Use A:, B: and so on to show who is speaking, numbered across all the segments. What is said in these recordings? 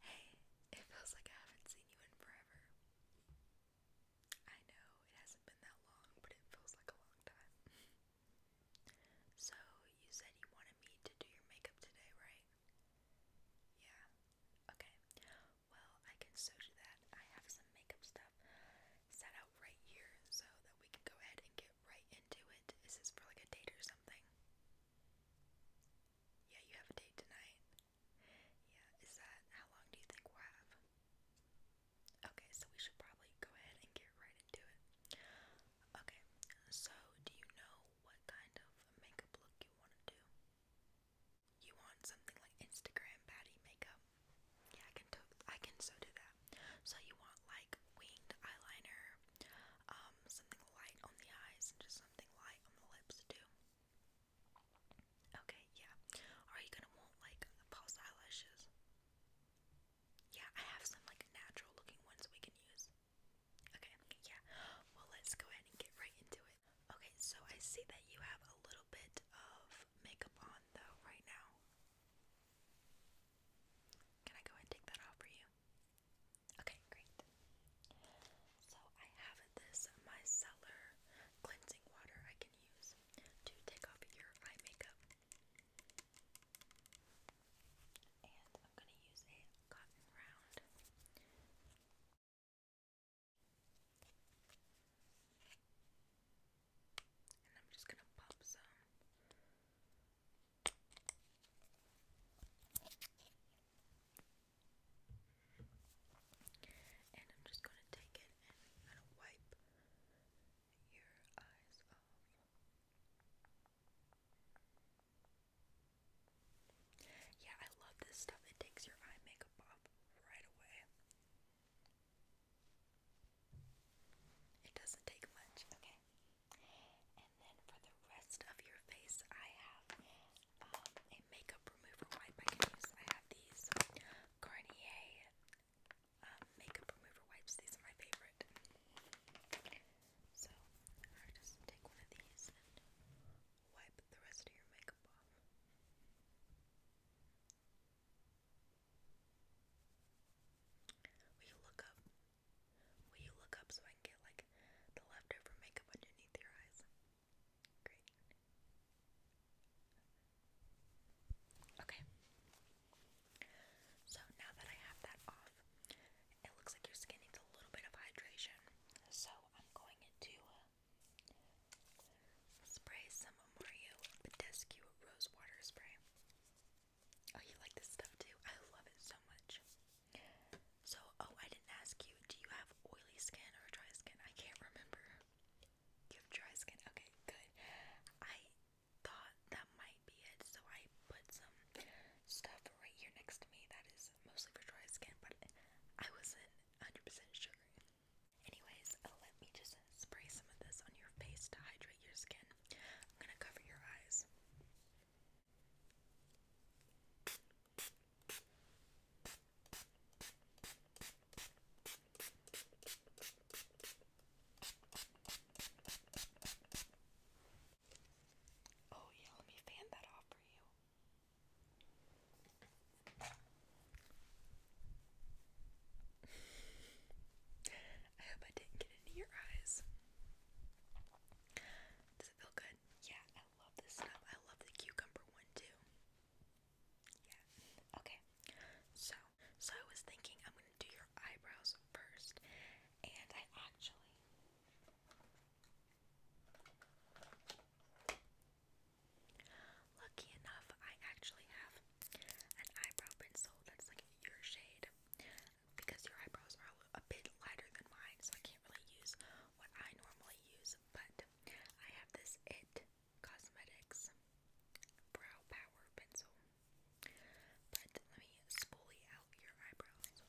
A: Hey, it feels like I haven't seen you in forever. I know it hasn't been that long, but it feels like a long time. so, you said you wanted me to do your makeup today, right? Yeah. Okay. Well, I can so do that. I have some makeup stuff set out right here so that we can go ahead and get right into it. Is this for like a date or something? Yeah, you have a date tonight. Yeah, is that how long do you think we'll have? Okay, so we should probably go ahead and get right into it. Okay, so do you know what kind of makeup look you want to do? You want something like Instagram baddie makeup? Yeah, I can to- I can so do that. So you want like winged eyeliner, um, something light on the eyes and just Okay, yeah. Are you gonna want like false eyelashes? Yeah, I have some like natural looking ones we can use. Okay, yeah. Well, let's go ahead and get right into it. Okay, so I see that you have a little bit of makeup on though right now. Can I go and take that off for you? Okay, great. So I have this micellar cleansing water I can use to take off your eye makeup. And I'm going to use a cotton round. And I'm just going to pop some. And I'm just going to take it and I'm wipe your eyes off. Yeah, I love this stuff. It takes your eye makeup off right away. It doesn't take much. Okay. And then for the rest of your face, I have um, a makeup remover wipe I can use. I have these Garnier um, makeup remover wipes. These are my favorite. So just take one of these and wipe the rest of your makeup off. Will you look up? Will you look up so I can get like the leftover makeup underneath your eyes? Great. Okay. So now that I have that off, it looks like your skin needs a little bit of hydration. So I'm going to uh, spray some Mario Badescu Rose Water Spray. Oh, you like this stuff too? I love it so much. So, oh, I didn't ask you. Do you have oily skin or dry skin? I can't remember. You have dry skin. Okay, good. I thought that might be it, so I put some stuff right here next to me that is mostly for dry skin, but I wasn't 100% sure. Anyways, let me just spray some of this on your face to hydrate your skin. I'm gonna cover your eyes. Oh, yeah, let me fan that off for you. I hope I didn't get into your eyes. Does it feel good? Yeah, love this stuff. I love the cucumber one too. Yeah. Okay. So, so I was thinking I'm gonna do your eyebrows first, and I actually. Lucky enough, I actually have an eyebrow pencil that's like your shade because your eyebrows are a bit lighter than mine, so I can't really use what I normally use but I have this It Cosmetics Brow Power Pencil. But let me spoolie out your eyebrows.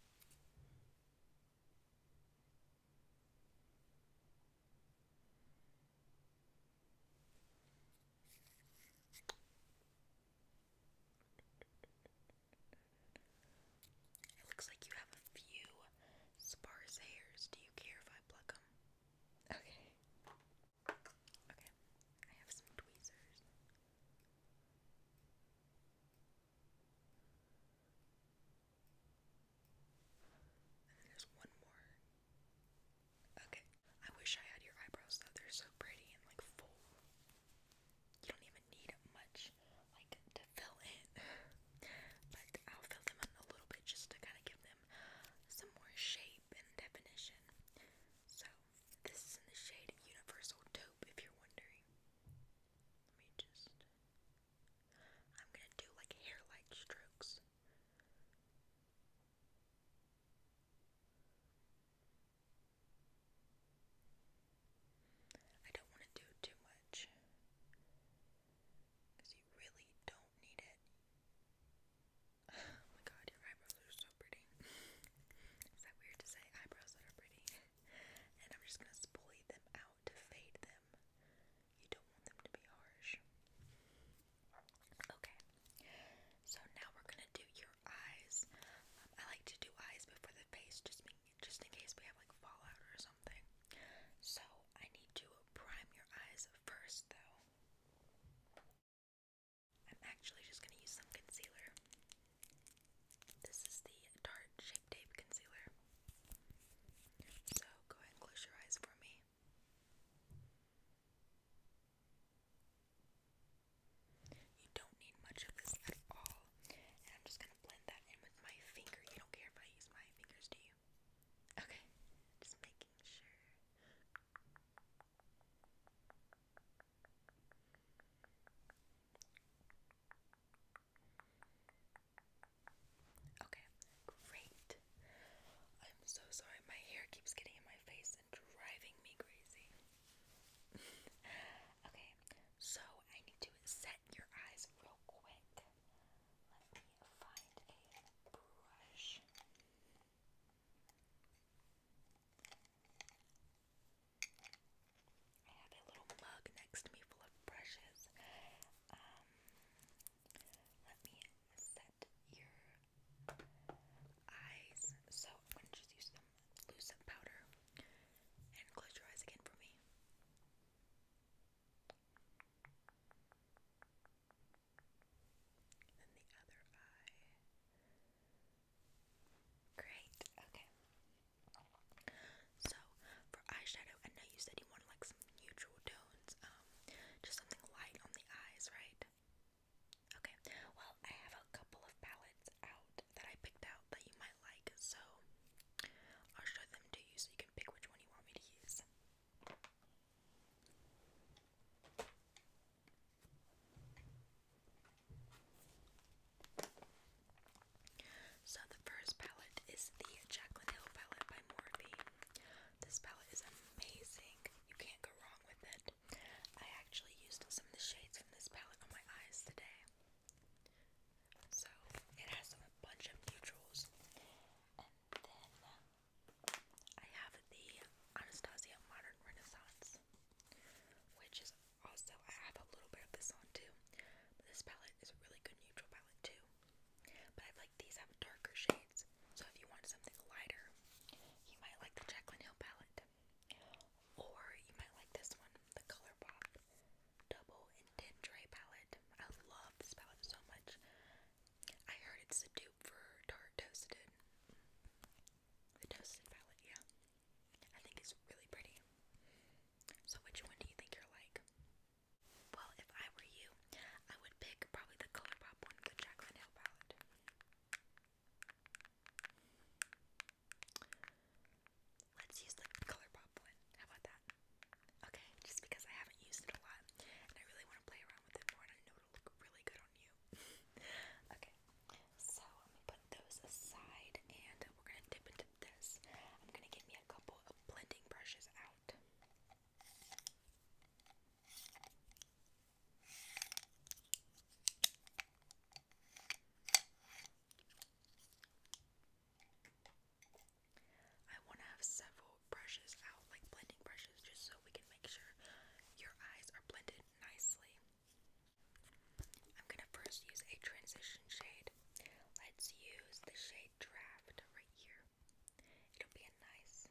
A: It looks like you have a few sparse hairs. Do you care if I pluck them? Okay. Okay. I have some tweezers. And then there's one more. Okay. I wish I had your eyebrows though. They're so pretty and like full. You don't even need much much like to fill in, but I'll fill them in a little bit just to kind of give them some more shape and definition. So this is in the shade Universal Taupe, if you're wondering. Let me just. I'm gonna do like hair-like strokes. I don't want to do too much. Because you really don't need it. Oh my god, your eyebrows are so pretty. Is that weird to say? Eyebrows that are pretty. and I'm just gonna spoolie them out to fade them. You don't want them to be harsh. Okay. So now we're gonna do your eyes. Um, I like to do eyes before the face, just, in case we have like fallout or so I need to prime your eyes first, though. I'm actually just going to use some concealer. This is the Tarte Shape Tape Concealer. So go ahead close your eyes for me. You don't need much of this at all. And I'm just going to blend that in with my finger. You don't care if I use my my fingers to you. Okay, just making sure. Okay, great. I'm so sorry, my hair keeps getting in my face and driving me crazy. okay, so I need to set your eyes real quick. Let me find a brush. I have a little mug next to me full of brushes. Um, let me set your um, eyes. So I'm gonna just use some loose powder and close your eyes again for me. And Great. Okay. So for eyeshadow, I know you said you wanted like some neutral tones, um, just something light on the eyes, right? Okay. Well, I have a couple of palettes out that I picked out that you might like, so I'll show them to you so you can can pick which one you want me to use. So the first palette is the Jaclyn Hill palette by Morphe. This palette is amazing. You can't go wrong with it. I actually used some of the shades from this palette on my eyes today. So it has a bunch of neutrals. And then I have the Anastasia Modern Renaissance, which is also, I have a little bit of this on too. this palette is a really good neutral palette too. But I like these have darker shades. So if you want something lighter, you might like the Jacqueline Hill palette. Or you might like this one, the ColourPop. Double Intent Palette. I love this palette so much. I heard it's the dupe for Dark Toasted. The Toasted palette, yeah. I think it's really pretty. So which one do you think you're like? Well, if I were you, I would pick probably the Colourpop one, the Jacqueline Hill palette. Let's use the Colourpop how about that? Okay, just because I haven't used it a lot and I really want to play around with it more and I know it'll look really good on you. okay, so I'm gonna put those aside and we're gonna dip into this. I'm gonna get me a couple of blending brushes out. I want to have several brushes out, like blending brushes, just so we can make sure your eyes are blended nicely. I'm going to first use a transition shade. Let's use the shade Draft right here. It'll be a nice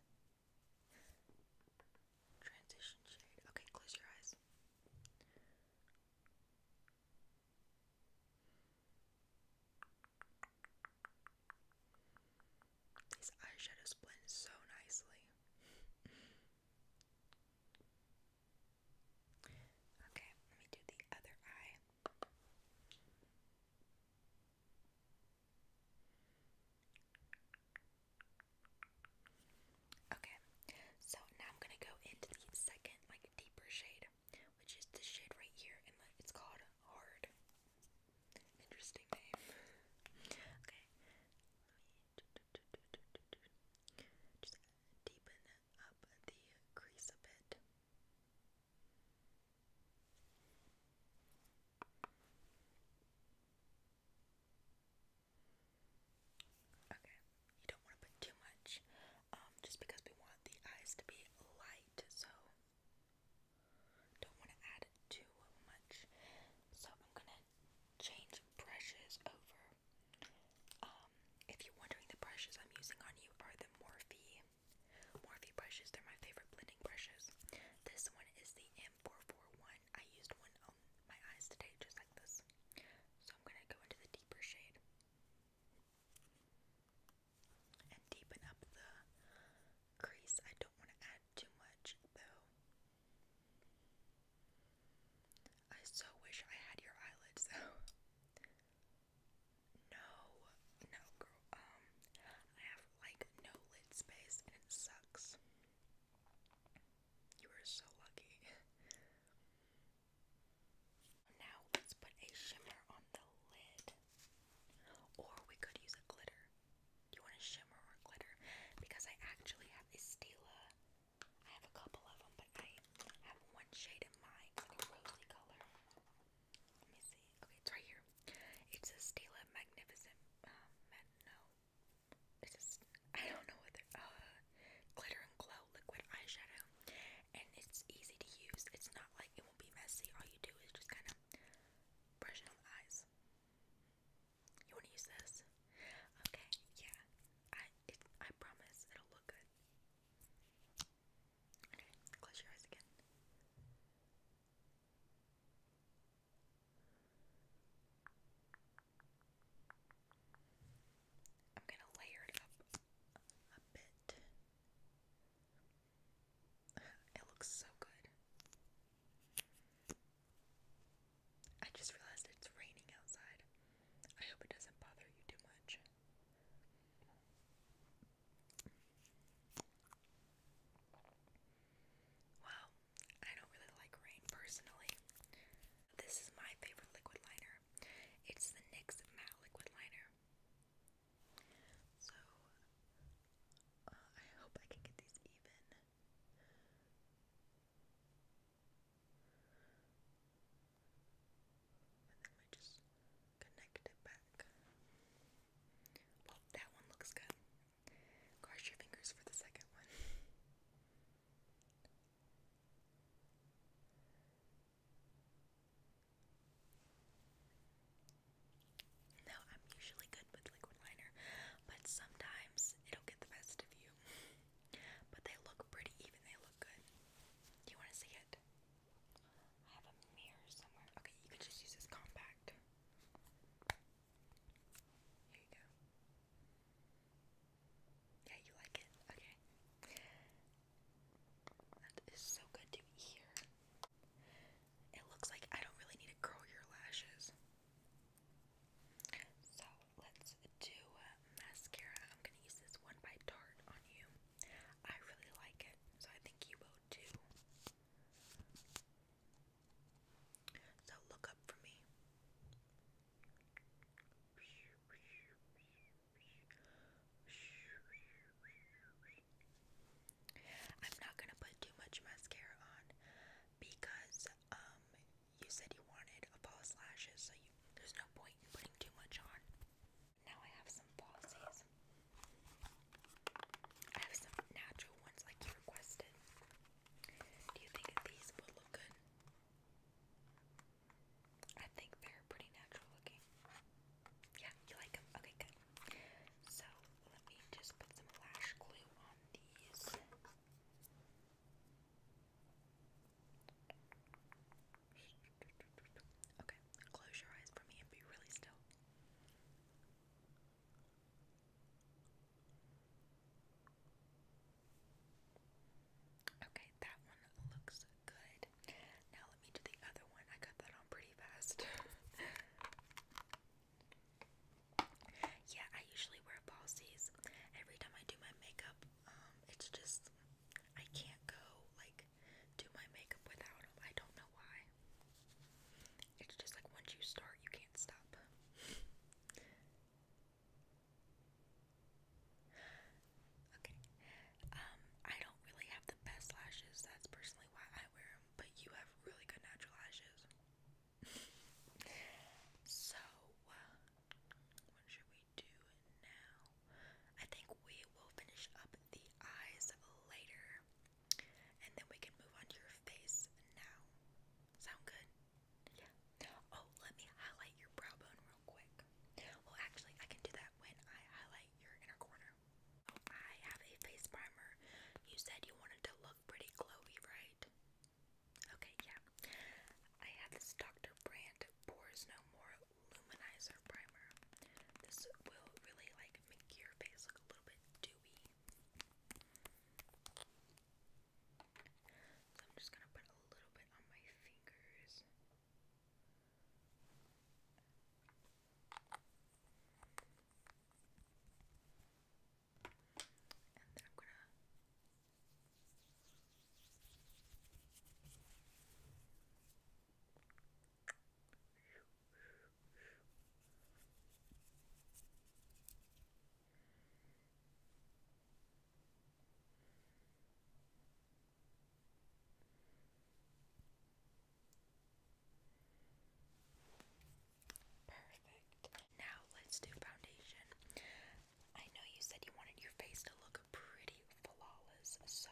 A: transition shade. Okay, close your eyes. These eyeshadows blend so nicely. okay, let me do the other eye. Okay, so now I'm gonna go into the second, like deeper shade which is the shade right here, and it's called Hard. Interesting name. okay, let me deepen up the crease a bit. Okay, you don't want to put too much, um, just because we want the eyes to be light, so don't want to add too much, so I'm gonna change brushes over. Um, if you're wondering, the brushes I'm using on you are the Morphe Morphe brushes. They're my favorite blending brushes. This one is the M441. I used one on my eyes today, just like this. So I'm gonna go into the deeper shade and deepen up the crease. I don't want to add too much though. I so wish I had your eyelids No, no girl. Um, I have like no lid space and it sucks. You are so lucky. Now let's put a shimmer on the lid. Or we could use a glitter. Do you want a shimmer or glitter? Because I actually have a I have a couple of them, but I have one shade in mind. It's like a rosy color. Let me see. Okay, it's right here. It's a Stila Magnificent. Um, no. It's just, don't know what they're, uh, glitter and glow liquid eyeshadow. And it's easy to use. It's not like be messy. All you do is just kind of brush on the eyes. You want to use this? Okay, yeah. I promise it'll look good. close your eyes again. I'm gonna layer it up a bit. It looks so good. I just realized it's raining outside. I hope it doesn't bother you too much. Well, I don't really like rain personally. This is my favorite liquid liner. It's the NYX Matte Liquid Liner. So uh, I hope I can get these even. And then we just connect it back. Well, that one looks good. Cross your fingers for the second one. Now, I'm usually good with liquid liner, but sometimes it'll get the best of you. but they look pretty, even they look good. you want to see it? I have a mirror somewhere. Okay, you could just use this compact. Here you go. Yeah, you like it? Okay. That is so good to hear it looks like I don't really need to curl your lashes. So let's do mascara. I'm going to use this one by Tarte on you. I really like it, so I think you will too. So look up for me sorry. I'm not gonna put too much mascara on because um you said you wanted false lashes, so there's no point in putting too much on. Now I have some falsies. I have some natural ones like you requested. Do you think these will look good? I think they're pretty natural looking. Yeah, you like them? Okay, good. So, let me just put some lash glue on these. Okay, close your eyes for me and be really still. Okay, that one looks good. Now let me do the other one. I got that on pretty fast. yeah, I usually wear falsies. Every time I do my makeup, um, it's just I can't go like do my makeup without them. I don't know why. It's just like once you start, you can't stop. okay. Um, I don't really have the best lashes. That's personally why I wear them but you have really good natural lashes. so, what should we do now? I think we will finish up the eyes later, and then we can move on to your face now. Sound good? Yeah. Oh, let me highlight your brow bone real quick. Well, actually, I can do that when I highlight your inner corner. I have a face primer. You said you wanted to look pretty glowy, right? Okay, yeah. I have this Dr. Brandt Pores No More Luminizer Primer. This will really like make your face look a little bit dewy. So I'm just gonna put a little bit on my fingers. And then I'm gonna Okay. Perfect. Now let's do foundation. I know you said you wanted your face to look pretty flawless, so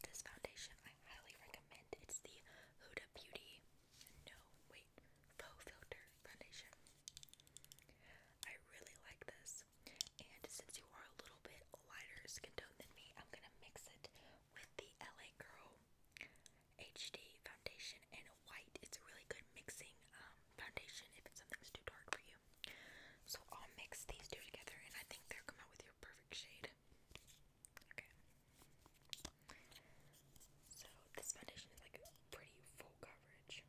A: this foundation I highly recommend. It's the Huda Beauty No Wait Faux Filter Foundation. I really like this, and since you are a little bit lighter skin tone than me, I'm gonna mix it with the LA Girl HD foundation and white. It's a really good mixing um, foundation if it's something that's too dark for you. So I'll mix these two together and I think they'll come out with your perfect shade. Okay. So this foundation is like pretty full coverage.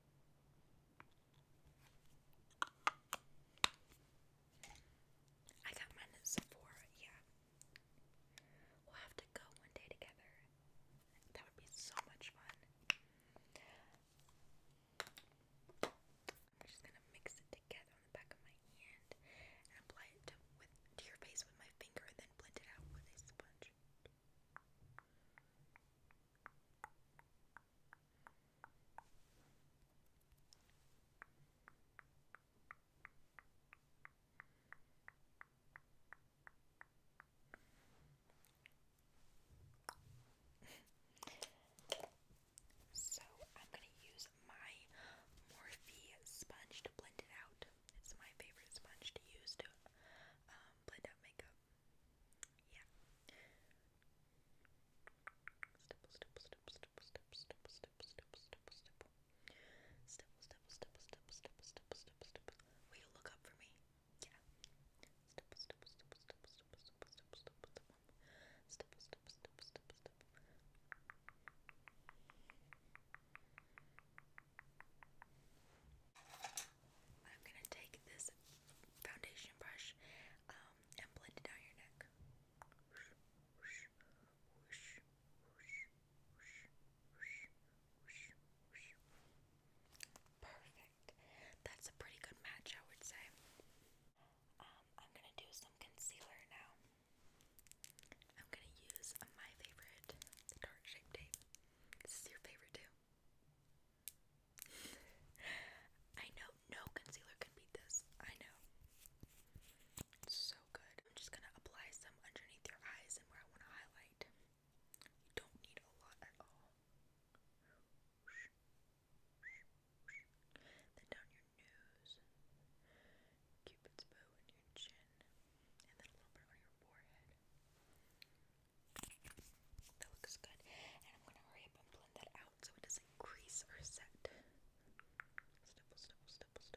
A: I got mine at Sephora, yeah. We'll have to go one day together. That would be so much fun. I'm just gonna mix it together on the back of my hand and apply it with to your face with my finger and then blend it out with a sponge so I'm going to use my Morphe sponge to blend it out. It's my favorite sponge to use to um, blend out makeup. Yeah. Will you look up for me? Yeah. I'm gonna take this foundation brush um, and blend it down your neck. Perfect. That's a pretty good match, I would say. Um, I'm gonna do some concealer now. I'm gonna use my favorite, dark shape tape. This is your favorite too. I know no concealer can beat this. I know. so I'm just gonna apply some underneath your eyes and where I want to highlight. You don't need a lot at all. Then down your nose, Cupid's bow and your chin, and then a little bit on your forehead. That looks good. And I'm gonna hurry up and blend that out so it doesn't crease or set. Stipple, stipple, stipple, stipple,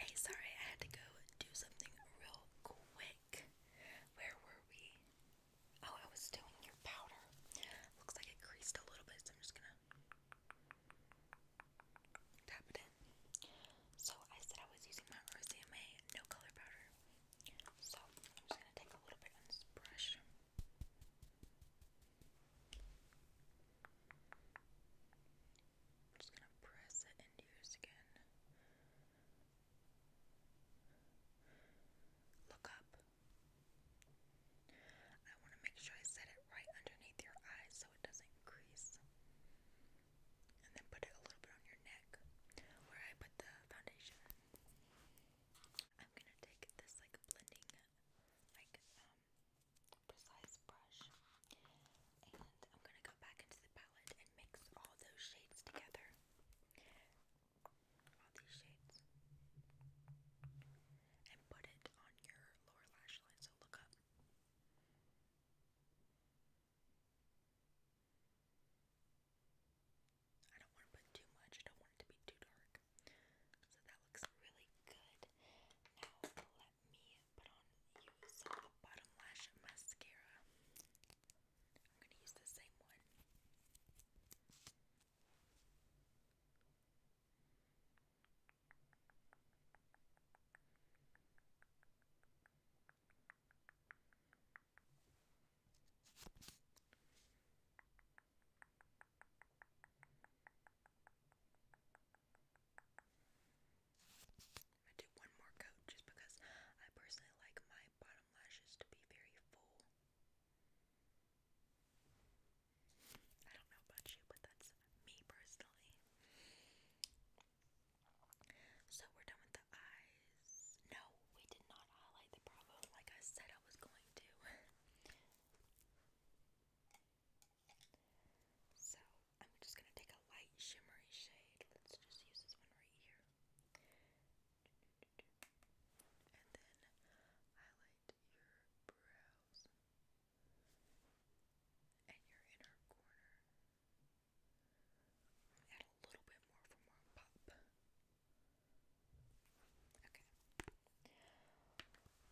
A: Hey, sorry, I had to go do something real quick. Where were we? Oh, I was doing your powder. Looks like it creased a little bit, so I'm just gonna tap it in. So, I said I was using my RCMA no color powder. So, I'm just gonna take a little bit on this brush. I'm just gonna press it into your skin. Look up. I want to make sure I set it right underneath your eyes so it doesn't crease. And then put it a little bit on your neck where I put the foundation. I'm gonna take this like blending like uh, precise brush. And I'm going to go back into the palette and mix all those shades together. All these shades. And put it on your lower lash line. So look up. I don't want to put too much. I don't want it to be too dark. So that looks really good. Now let let me put on use a bottom lash mascara. I'm gonna use the same one. Okay i do one more coat just because I personally like my bottom lashes to be very full. I don't know about you, but that's me personally. So we're done with the eyes. No, we did not highlight the Bravo like I said I was going to. So I'm just gonna take a light shimmery shade. Let's just use this one right here. And then highlight your brows and your inner corner. Add a little bit more for more pop. Okay.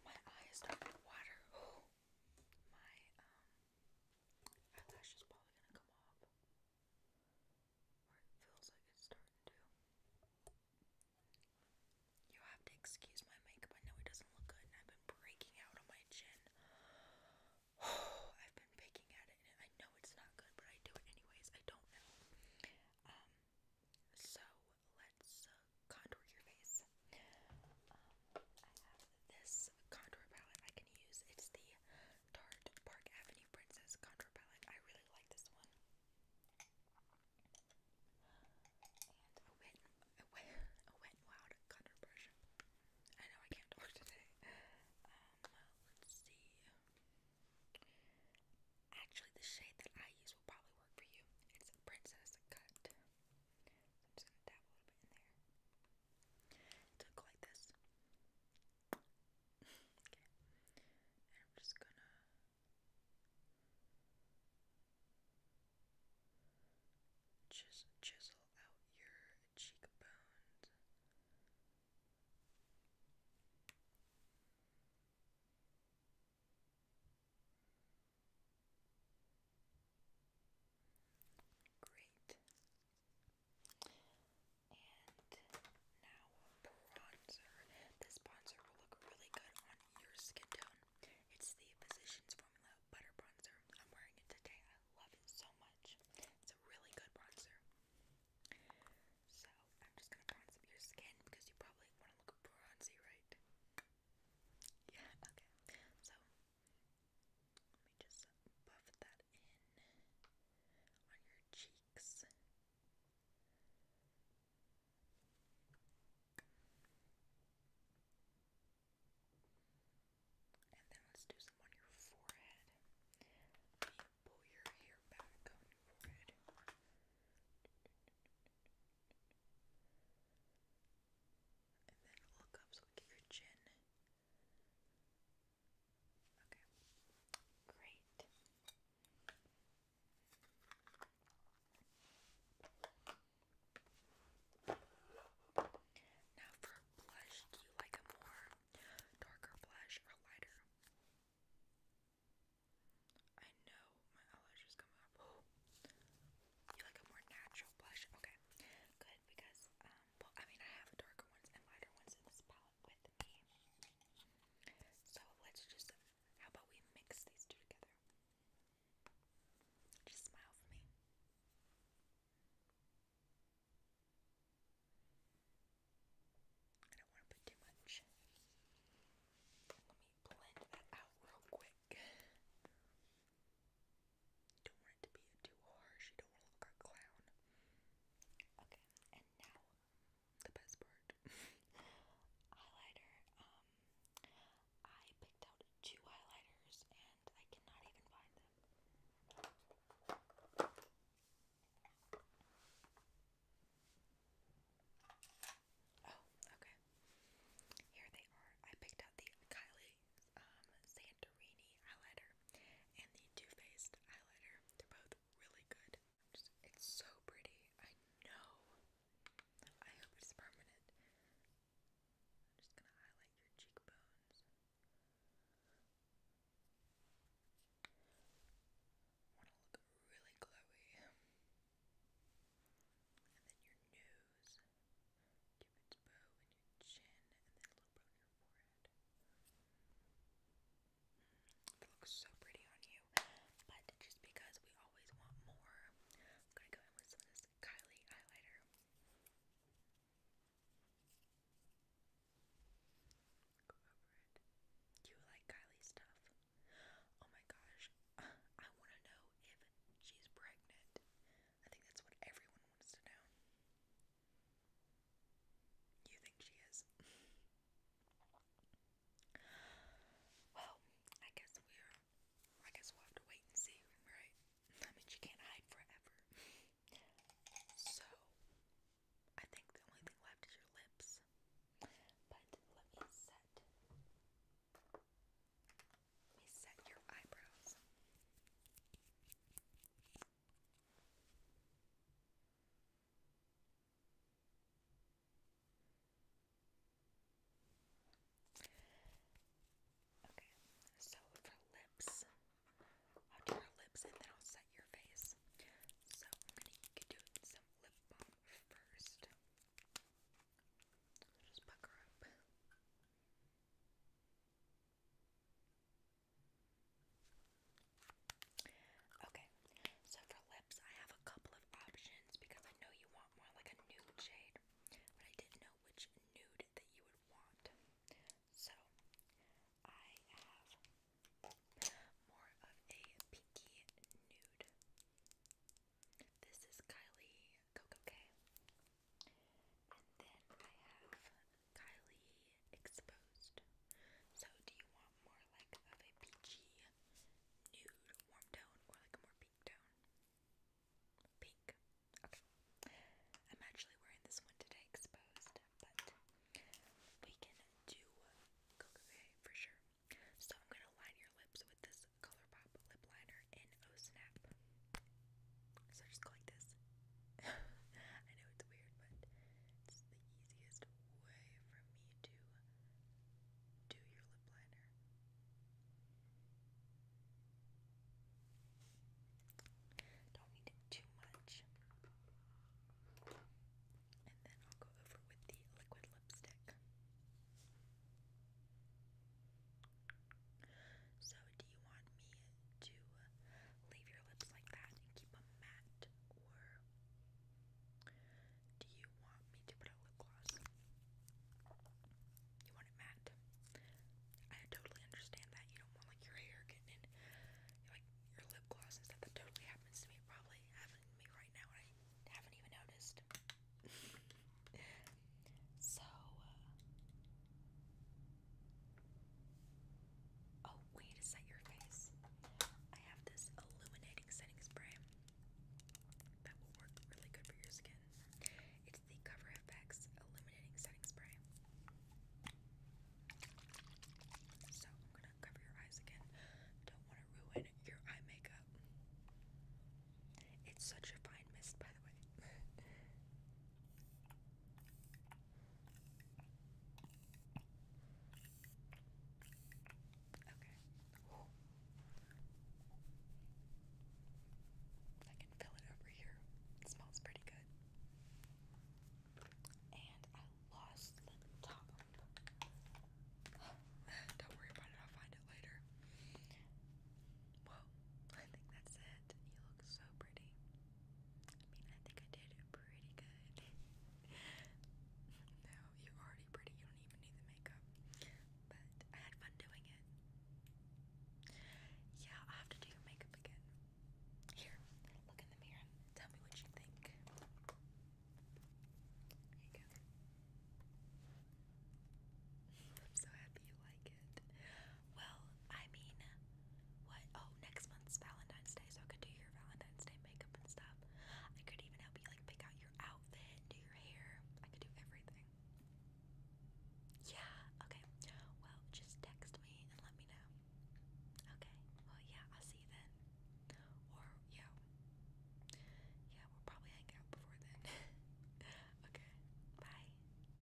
A: My eyes start to water. Oh, my um eyelash is probably gonna come off. Or it feels like it's starting to. You have to excuse my makeup. I know it doesn't look good, and I've been breaking out on my chin. Oh, I've been picking at it, and I know it's not good, but I do it anyways. I don't know. Um, so let's uh, contour your face. Um, I have this contour palette I can use. It's the Tarte Park Avenue Princess contour palette. I really like this one. And a wet, a wet, a wet and contour brush. I know I can't talk today. Um, let's see. Actually, the shade that I use will probably work for you. It's Princess Cut. I'm just going to dab a little bit in there. To go like this. okay. I'm just going to just chisel out your cheekbones. Great. And now bronzer. This bronzer will look really good on your skin tone. It's the Physicians Formula Butter Bronzer. I'm wearing it today. I love it so much. It's a really good bronzer. So I'm just gonna bronze up your skin because you probably want to look bronzy, right? Yeah, okay. So let me just buff that in on your cheeks. And then let's do some on your forehead. Let me pull your hair back on your forehead. And then look up so we get your chin. Okay. Great. Now for blush, do you like a more darker blush or lighter? I know my eyelashes come up. You like a more natural blush? Okay, good because um, well, I mean I have darker ones and lighter ones in this palette with me. So let's just, how about we mix these two together? Just smile for me. I don't want to put too much. Let me blend that out real quick. Don't want it to be too harsh. You don't want to look like a clown. Okay, and now the best part. Highlighter. Um I picked out two highlighters and I cannot even find them. Oh, okay. Here they are. I picked out the Kylie um, Santorini highlighter and the Too Faced highlighter. They're both really good. it's so pretty. I know. I hope it's permanent. I'm just gonna highlight your cheekbones. Wanna look really glowy. And then your nose. It looks so pretty on you, but just because we always want more, I'm gonna go in with some this Kylie highlighter. Go over it. you like Kylie stuff? Oh my gosh, I want to know if she's pregnant. I think that's what everyone wants to know. You think she is? well, I guess we're. I guess we'll have to wait and see, right? I mean, she can't hide forever. so, I think the only thing left is your lips. But let me set let me set your eyebrows. Okay, so for lips, I'll do your lips and then I'll set your face. So I'm gonna you do some lip balm first. Just pucker up. Okay, so for lips, I have a couple of options because I know you want more like a nude shade, but I didn't know which nude that you would want. So I have more of a pinky nude. This is Kylie Coco K. And then I have Kylie Exposed. So do you want more like of a peachy nude warm tone or like a more pink tone? Pink. Okay. I'm actually wearing this one today exposed, but we can do Coco for sure. So I'm gonna line your lips with this ColourPop lip liner here oh in Snap. So just go like this. I know it's weird, but it's the easiest way for me to do your lip liner. Don't need too much. And then I'll go over with the liquid lipstick. So, do you want me to uh, leave your lips like that and keep them matte, or do you want me to put a lip gloss? You want it matte. I totally understand that you don't want like your hair getting like your lip gloss and That totally happens to me. Probably happening me right now, and I haven't even noticed. So, uh, oh, we need to set your face. I have this illuminating setting spray that will work really good for your skin. It's the Cover FX illuminating setting spray. So, I'm gonna cover your eyes again. Don't want to ruin your eye makeup. It's such a fine mist, by the way. Okay. Ooh. I can fill it over here. It smells pretty good. And I lost the top. Don't worry about it, I'll find it later. Well, I think that's it. You look so pretty. I mean, I think I did pretty good. no, you're already pretty. You don't even need the makeup. But I had fun doing it. Yeah, i have to do makeup again. Here, look in the mirror tell me what you think. There you go. I'm so happy you like well, I mean, what? Oh, next month's Valentine's Day, so I could do your Valentine's Day makeup and stuff. I could even help you like pick out your outfit, do your hair. I could do everything. Yeah. Okay. Well, just text me and let me know. Okay. Well, yeah. I'll see you then. Or yeah. Yeah, we'll probably hang out before then. okay. Bye.